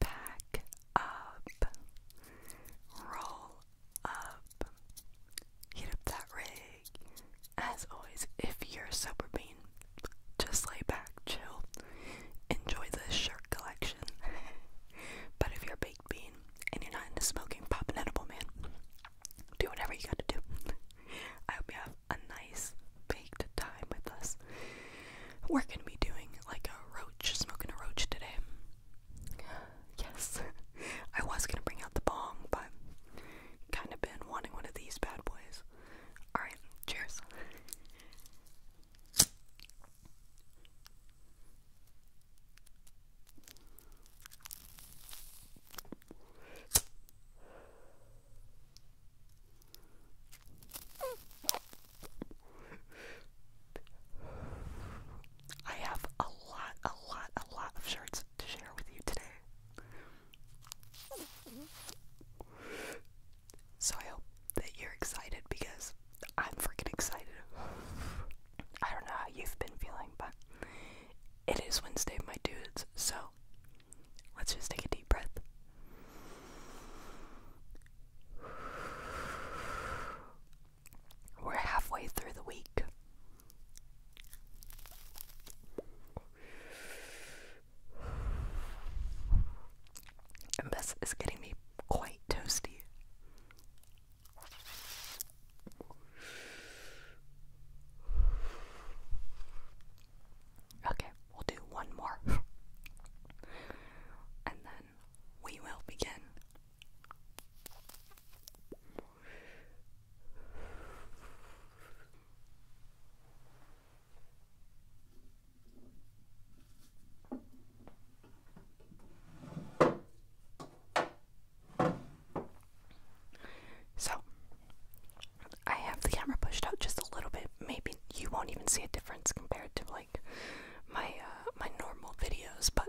Pack up, roll up, heat up that rig. As always, if you're a sober bean, just lay back, chill, enjoy this shirt collection. but if you're a baked bean and you're not into smoking, pop edible, man. Do whatever you gotta do. I hope you have a nice baked time with us. We're gonna be doing like a roach, smoking a roach today. Yes, I was gonna bring out the bong, but kind of been wanting one of these bad boys. Alright, cheers. I have a lot, a lot, a lot of shirts to share with you today. So I hope that you're excited because I'm freaking excited. I don't know how you've been feeling, but it is Wednesday, my dudes, so Let's just take a deep breath. We're halfway through the week. And this is getting me quite toasty. Okay, we'll do one more. and then we will begin. So, I have the camera pushed out just a little bit. Maybe you won't even see a difference compared to like my uh, my normal videos, but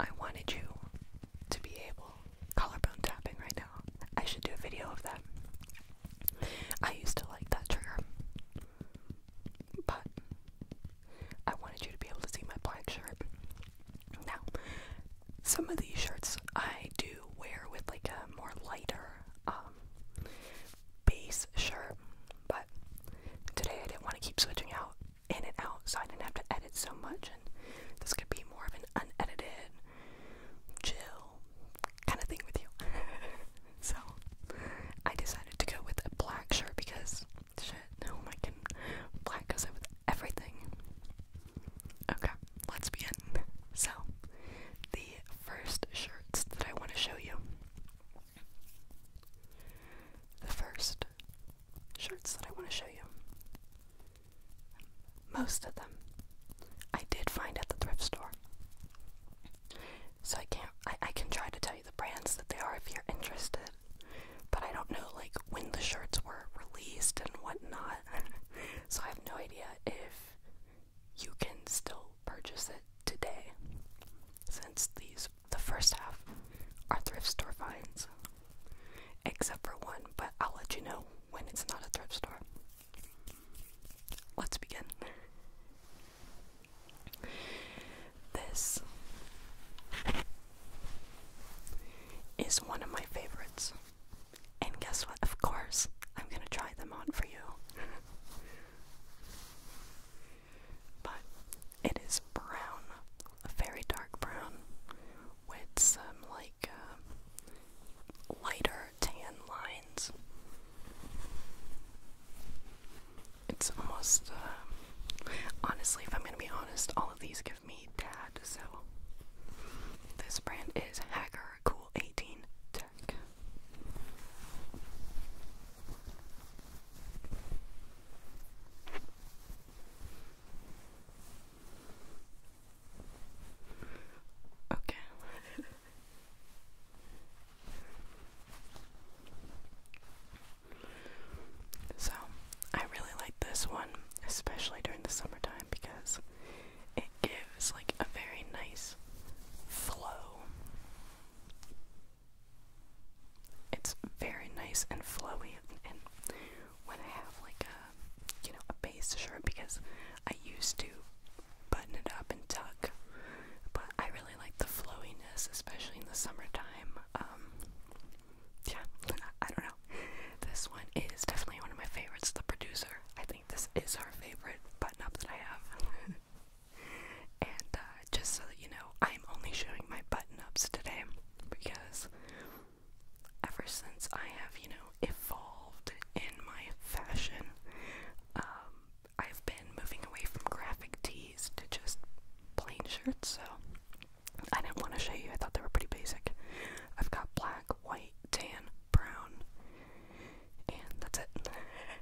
I wanted you to be able collarbone tapping right now. I should do a video of that. I used to like that trigger, but I wanted you to be able to see my black shirt. Now, some of these shirts I do wear with like a more lighter um, base shirt, but today I didn't want to keep switching out in and out, so I didn't have to edit so much, and this could be more of an unedited, chill kind of thing with you. so I decided to go with a black shirt because no, I can black us with everything. Okay, let's begin. So, the first shirts that I want to show you. The first shirts that I want to show you. Most of them I did find at the thrift store. So I can't I, I can try to tell you the brands that they are if you're interested. But I don't know like when the shirts were released and whatnot. so I have no idea if you can still purchase it today. Since these the first half are thrift store finds. Except for one, but I'll let you know when it's not a thrift store. Let's begin. This is one of my favorites. And guess what? Of course, I'm gonna try them on for you. but it is brown, a very dark brown, with some like uh, lighter tan lines. It's almost, uh, honestly, if I'm gonna be honest, all of these give me that. So this brand is Hacker Cool 18 Tech. Okay. So, I really like this one, especially during the summertime because it gives like a very nice flow. It's very nice and flowy and when I have like a you know, a base shirt because I used to button it up and tuck. But I really like the flowiness, especially in the summertime. Um, yeah, I don't know. This one is definitely one of my favorites. The producer, I think this is our favorite button up that I have. and uh, just so that you know, I'm only showing my button ups today because ever since I have, you know, evolved in my fashion, um, I've been moving away from graphic tees to just plain shirts. So I didn't want to show you, I thought they were pretty basic. I've got black, white, tan, brown, and that's it.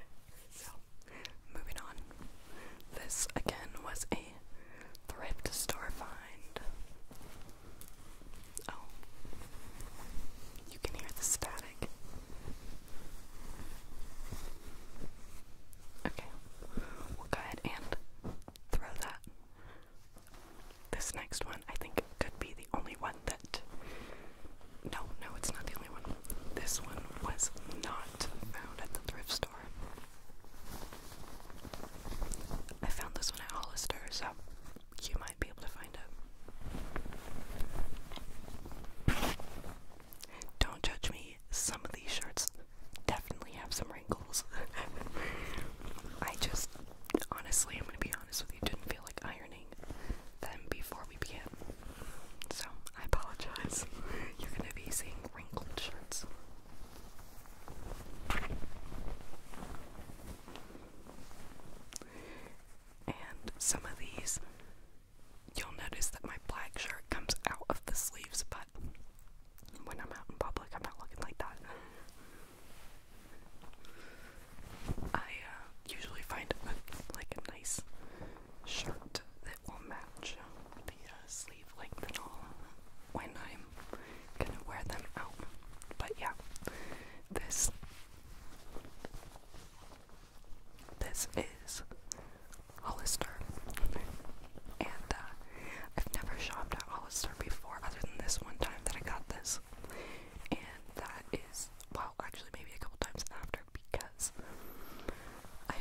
so, moving on. This again was a thrift store find. Oh, you can hear the static. Okay, we'll go ahead and throw that. This next one, I think, could be the only one that. No, no, it's not the only one. This one was not found at the thrift store. I found this one at Hollister, so you might be able to find it. Don't judge me, some of these shirts definitely have some wrinkles. I just, honestly, I'm gonna be honest with you, didn't feel like ironing them before we began. So, I apologize. You're gonna be seeing wrinkled shirts. And some of these you'll notice that my black shirt comes out of the sleeves, but when I'm out in public, I'm not looking like that. I uh, usually find a, like a nice shirt that will match the uh, sleeve length and all when I'm gonna wear them out. But yeah, this this is Hollister, and uh, I've never shopped at Hollister before, other than this one time that I got this, and that is well, actually maybe a couple times after because I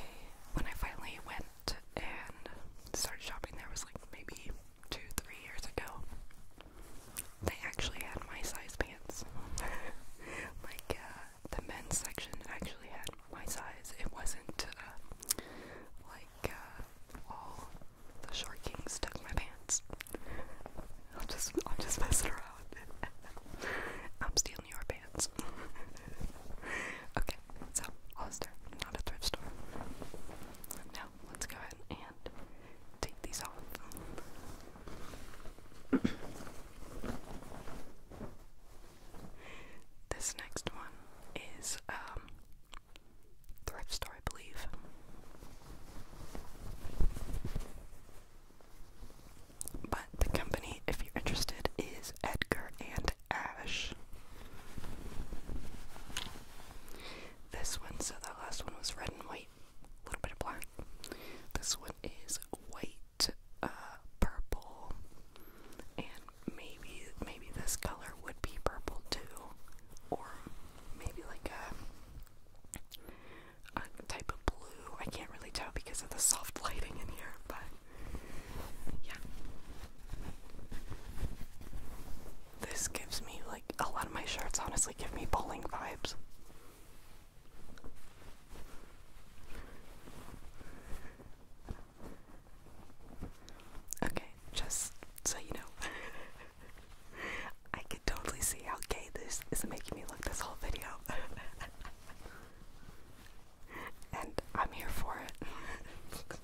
when I finally went and started shopping there was like maybe two three years ago. They actually had my size pants, like uh, the men's section actually had my size. It wasn't uh, like uh, all the short kings stuck my pants. I'll just I'll just mess it around. I'm stealing your pants. okay, so Hollister, not a thrift store. Now let's go ahead and take these off. This next one is um, thrift store, I believe. But the company, if you're interested, is Edgar and Ash. This one, so that last one was red and white, a little bit of black. This one is white uh, purple, and maybe maybe this color would be purple too, or maybe like a, type of blue. I can't really tell because of the soft lighting in here, but yeah. This gives me like a lot of my shirts honestly give me bowling vibes. Okay, just so you know, I can totally see how gay this is making me look this whole video. and I'm here for it.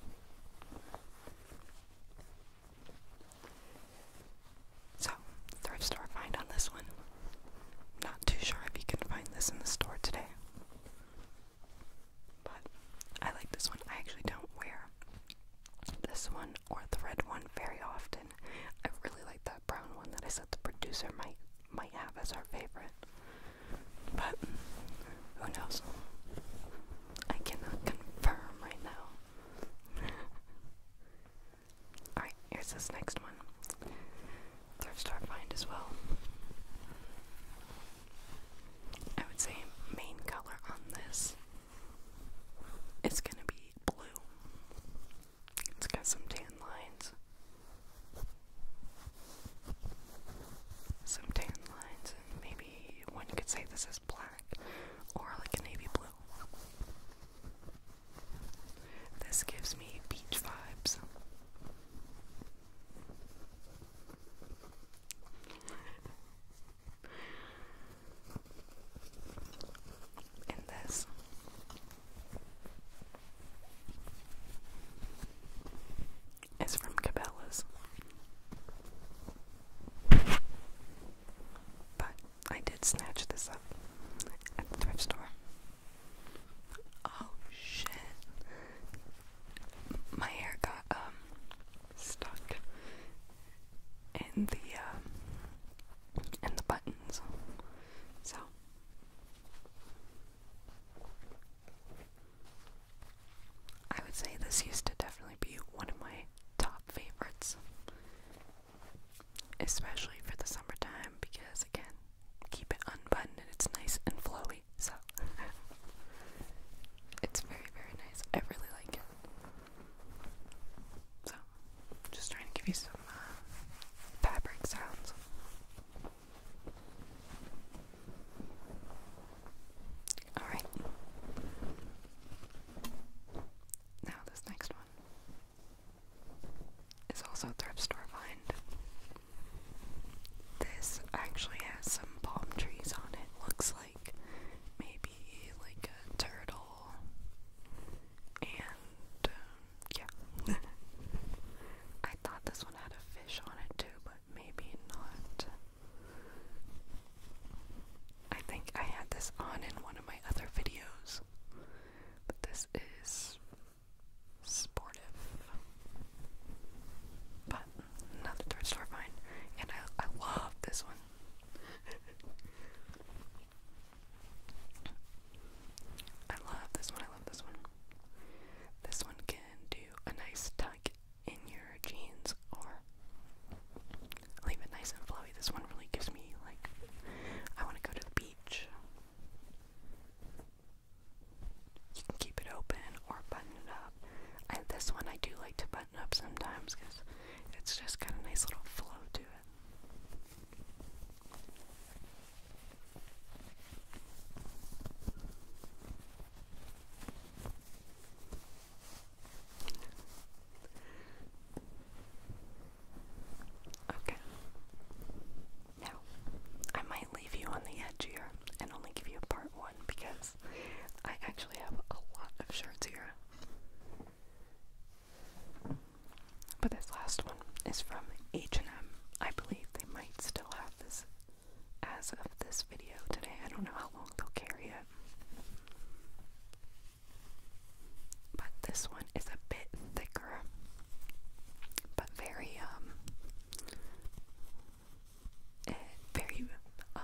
So, thrift store find on this one. Not too sure if you can find this in the store today. But I like this one. I actually don't wear this one or the red one very often. I really like that brown one that I said the producer might might have as our favorite. But who knows? I cannot confirm right now. Alright, here's this next one. Thrift store find as well. I would say main color on this is gonna be blue. It's got some tan lines. Some tan lines, and maybe one could say this is black or like a navy blue. This gives me beach vibes. and this. It's from Cabela's. But I did snatch this up at the thrift store. Oh shit. My hair got um stuck in the um, in the buttons. So I would say this used to definitely be one of my top favorites especially for the summertime because again, keep it unbuttoned and it's nice and flowy. So it's very very nice. I really like it. So just trying to give you some uh, fabric sounds. All right. Now this next one. It's also a thrift store find. This actually has some palm trees on it. Looks like maybe like a turtle. And um, yeah. I thought this one had a fish on it too, but maybe not. I think I had this on in one of my other videos, but this is sportive. But another thrift store find, and I I love this one. I love this one. I love this one. This one can do a nice tuck in your jeans or Leave it nice and flowy. This one really gives me, like, I want to go to the beach. You can keep it open or button it up. I, this one I do like to button up sometimes because it's just got a nice little flow to it. Okay. Now, I might leave you on the edge here and only give you a part one because I actually have a lot of shirts here. But this last one is from H&M. I believe they might still have this as of this video today. I don't know how long they'll carry it. But this one is a bit thicker, but very, um, eh, very, um,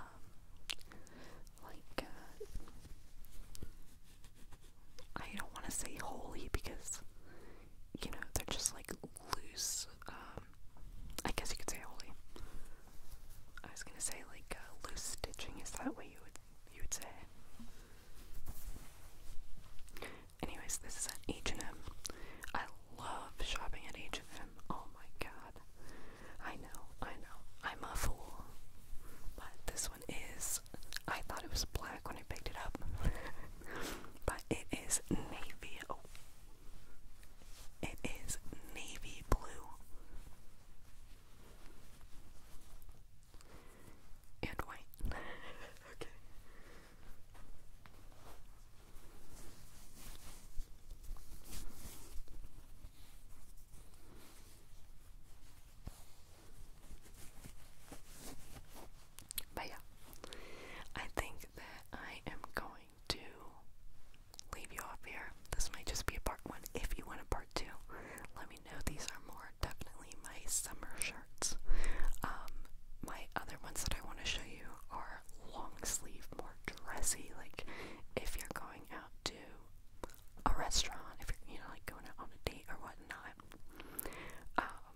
like, uh, I don't want to say holy because, you know, they're just like loose, um, I guess you could say holy. I was gonna say like uh, loose stitching. Is that what you would you would say? Anyways, this is at H and M. I love shopping at H and M. Oh my god! I know, I know, I'm a fool. But this one is. I thought it was black when I picked it up, but it is navy. Oh, it is navy blue and white. okay. But yeah, I think that I am going to leave you off here. This might just be a part one. If you want a part two, let me know. These are more definitely my summer shirts. Um, my other ones that I want to show you are long sleeve, more dressy. Like if you're going out to a restaurant, if you're you know like going out on a date or whatnot, um,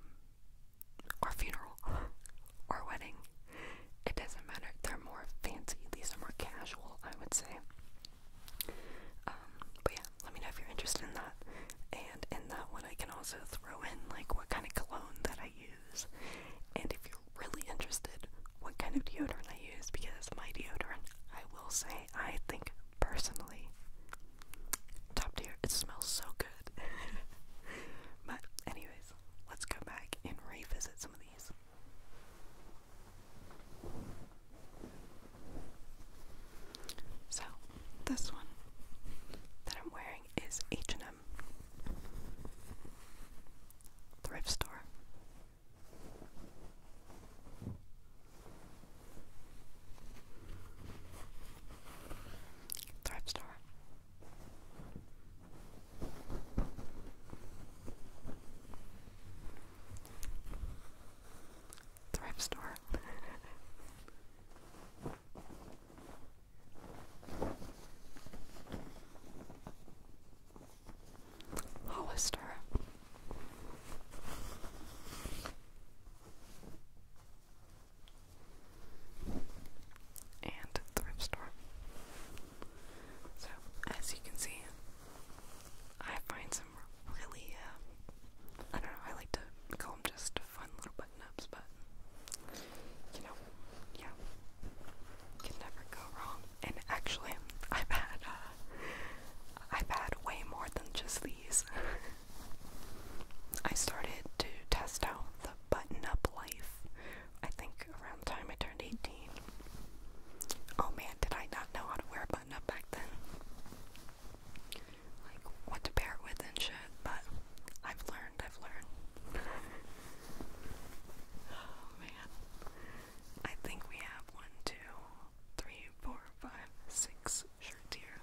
or funeral, or wedding, it doesn't matter. They're more fancy. These are more casual, I would say. Um, but yeah, let me know if you're interested in that. And in that one, I can also throw in like what kind of cologne that I use. And if you're really interested, what kind of deodorant I use because my deodorant, I will say, I think personally, top tier. It smells so good. but anyways, let's go back and revisit some of these. So, this one that I'm wearing is H&M thrift store. Thrift store. Thrift store. Hollister and thrift store. So, as you can see, I find some really, uh, I don't know, I like to call them just fun little button ups, but you know, yeah, can never go wrong. And actually, I've had, uh, I've had way more than just these. I started to test out the button up life I think around the time I turned 18. Oh man, did I not know how to wear a button up back then? Like, what to pair it with and shit, but I've learned, I've learned. oh man. I think we have one, two, three, four, five, six shirts here.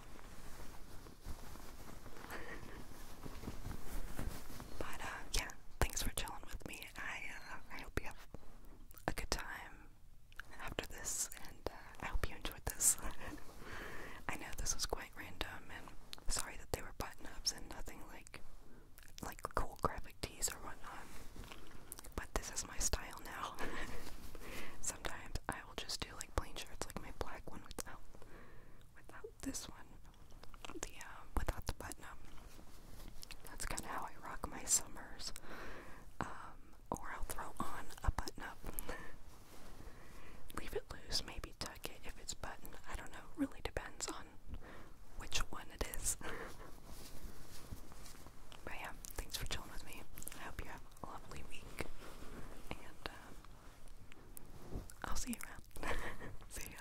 But uh, yeah, thanks for chilling with me. I uh, I hope you have a good time after this, and uh, I hope you enjoyed this. I know this was quite random, and sorry that they were button ups and nothing like like cool graphic tees or whatnot. But this is my style now. Sometimes I will just do like plain shirts, like my black one without without this one, the um, without the button up. That's kind of how I rock my summers. Um, or I'll throw on a button up. Leave it loose, maybe tuck it if it's button. I don't know. Really depends on which one it is. but yeah, thanks for chilling with me. I hope you have a lovely week. And um, I'll see you around. see ya.